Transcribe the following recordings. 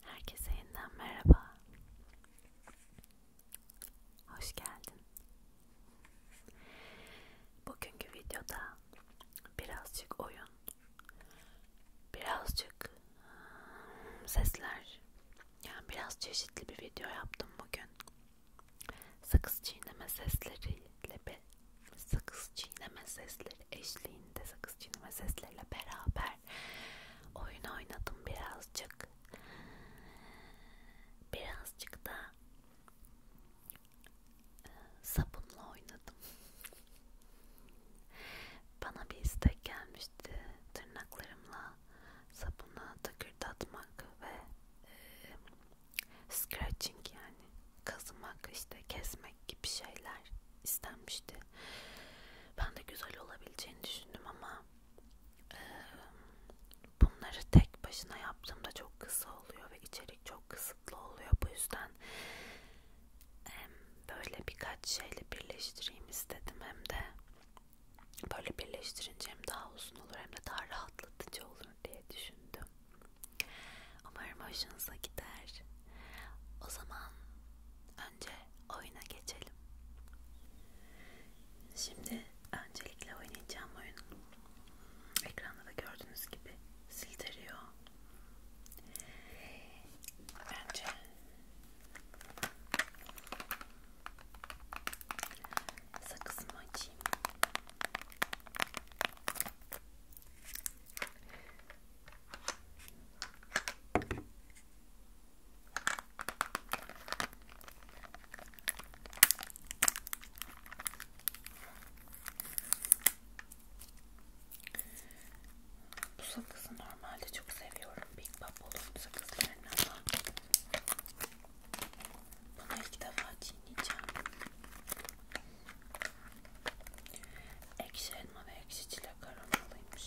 Herkese yeniden merhaba. Hoş geldin. Bugünkü videoda birazcık oyun, birazcık hmm, sesler, yani biraz çeşitli bir video yaptım bugün. Sakız çiğneme sesleriyle sakız çiğneme sesleri eşliğinde sakız çiğneme sesleriyle beraber oyun oynadım birazcık birazcık da e, sabunla oynadım bana bir istek gelmişti tırnaklarımla sabuna takırt atmak ve e, scratching yani kazımak işte kesmek gibi şeyler istenmişti. Ben de güzel olabileceğini düşündüm ama e, bunları tek başına yaptığımda çok kısa oluyor ve içerik çok kısıtlı oluyor. Bu yüzden hem böyle birkaç şeyle birleştireyim istedim hem de böyle birleştirince hem daha uzun olur hem de daha rahatlatıcı olur diye düşündüm. Umarım hoşunuza gider. O zaman önce oyuna geçelim. Şimdi öncelikle oynayacağım oyun. Ekranda da gördüğünüz gibi sildiriyor. Önce sakızımı açayım. Bu sakızı normalde çok seviyorum. Big Bubble'ın sakızlarını ama bunu ilk defa çiğneyeceğim. Ekşi elma ve ekşi çilek aromalıymış.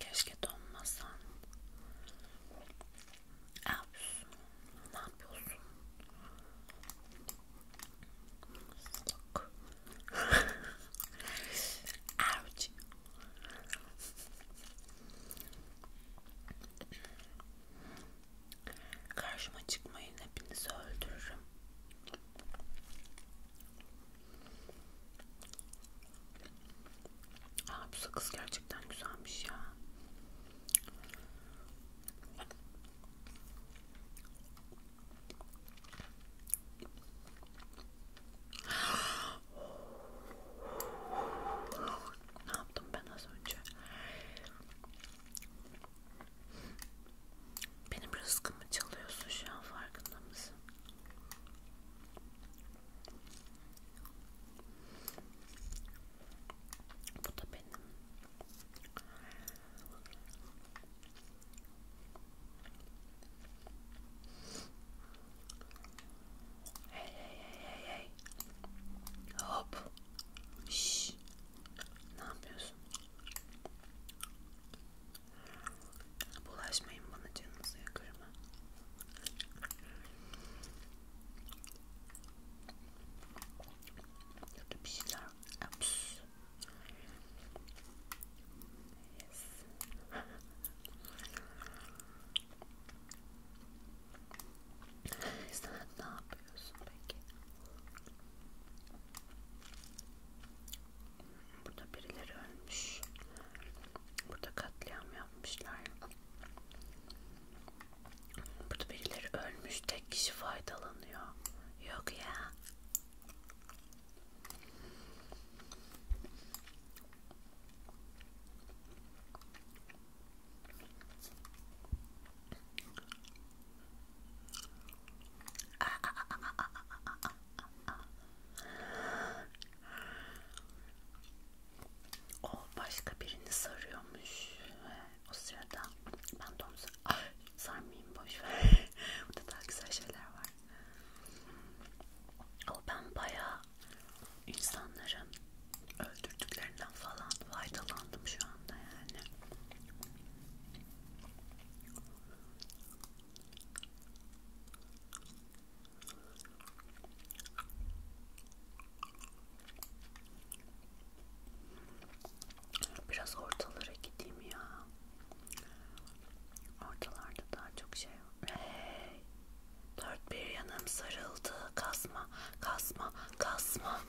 Keşke donmasan. Ne yapıyorsun? Ne yapıyorsun? Salak. Ouch. Karşıma çıkmayın hepinizi öldürürüm. Aa, bu sakız gerçekten güzelmiş ya. ne yaptım ben az önce? Benim rızkımı çalıyorsun şu an farkında mısın? Bu da benim. Hey hey hey hey Hop. Şşş. Ne yapıyorsun? Bulaşmayın bana canınızı yakarım. Kötü bir şeyler. Ups. Yes. Sen ne yapıyorsun peki? Burada birileri ölmüş. Burada katliam yapmışlar. Burada birileri ölmüş. Tek kişi faydalanıyor. Yok ya. O başka birini sarıyormuş o sırada. Ben de onu sar Ay, ah, sarmayayım boşver. Burada daha güzel şeyler var. O ben bayağı insanların öldürdüklerinden falan faydalandım şu anda yani. Biraz ortalara gideyim ya. Ortalarda daha çok şey var. Hey! Dört bir yanım sarıldı. Kasma, kasma, kasma.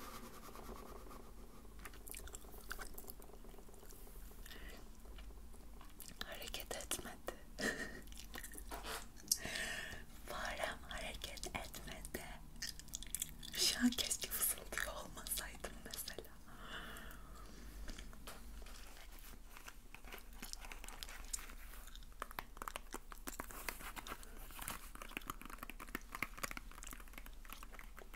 Hareket etmedi. Farem hareket etmedi. Şu an keşke fısıldıyor olmasaydım mesela.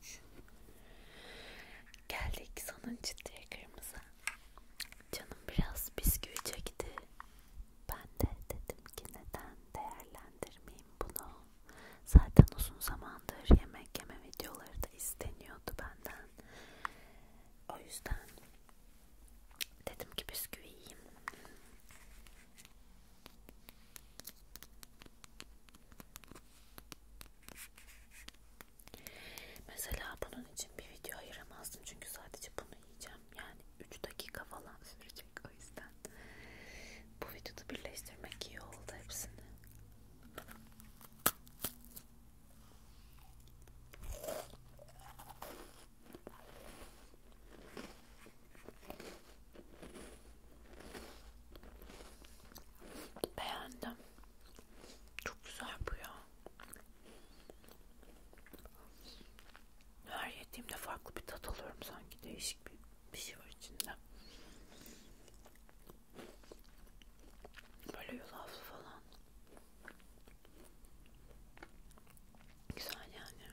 3 Geldik sonuncu trigger'ımıza. Canım biraz bisküvi çekti. Ben de dedim ki neden değerlendirmeyeyim bunu. Zaten uzun zamandır yemek yeme videoları da isteniyordu benden. O yüzden dedim ki bisküvi yiyeyim. Mesela bunun için bir video ayıramazdım çünkü sadece bunu yiyeceğim. Yani 3 dakika falan sürecek o yüzden. Bu videoda birleştirmek iyi oldu hepsini. Beğendim. Çok güzel bu ya. Her yediğimde farklı bir tat alıyorum sanki. Değişik bir, bir şey var içinde. Böyle yulaflı falan. Güzel yani.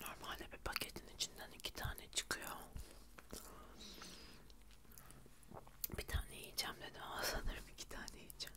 Normalde bir paketin içinden iki tane çıkıyor. Bir tane yiyeceğim dedim ama sanırım iki tane yiyeceğim.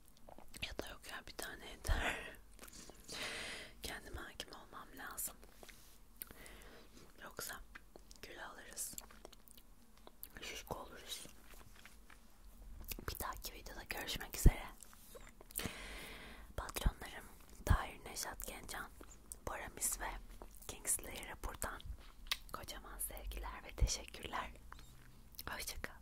Ya da yok ya bir tane yeter. Kendime hakim olmam lazım. Yoksa kül alırız. Şişko oluruz. Bir dahaki videoda görüşmek üzere. Patronlarım Tahir Neşat Gencan, Bora Mis ve Kingsley'e buradan kocaman sevgiler ve teşekkürler. Hoşçakal.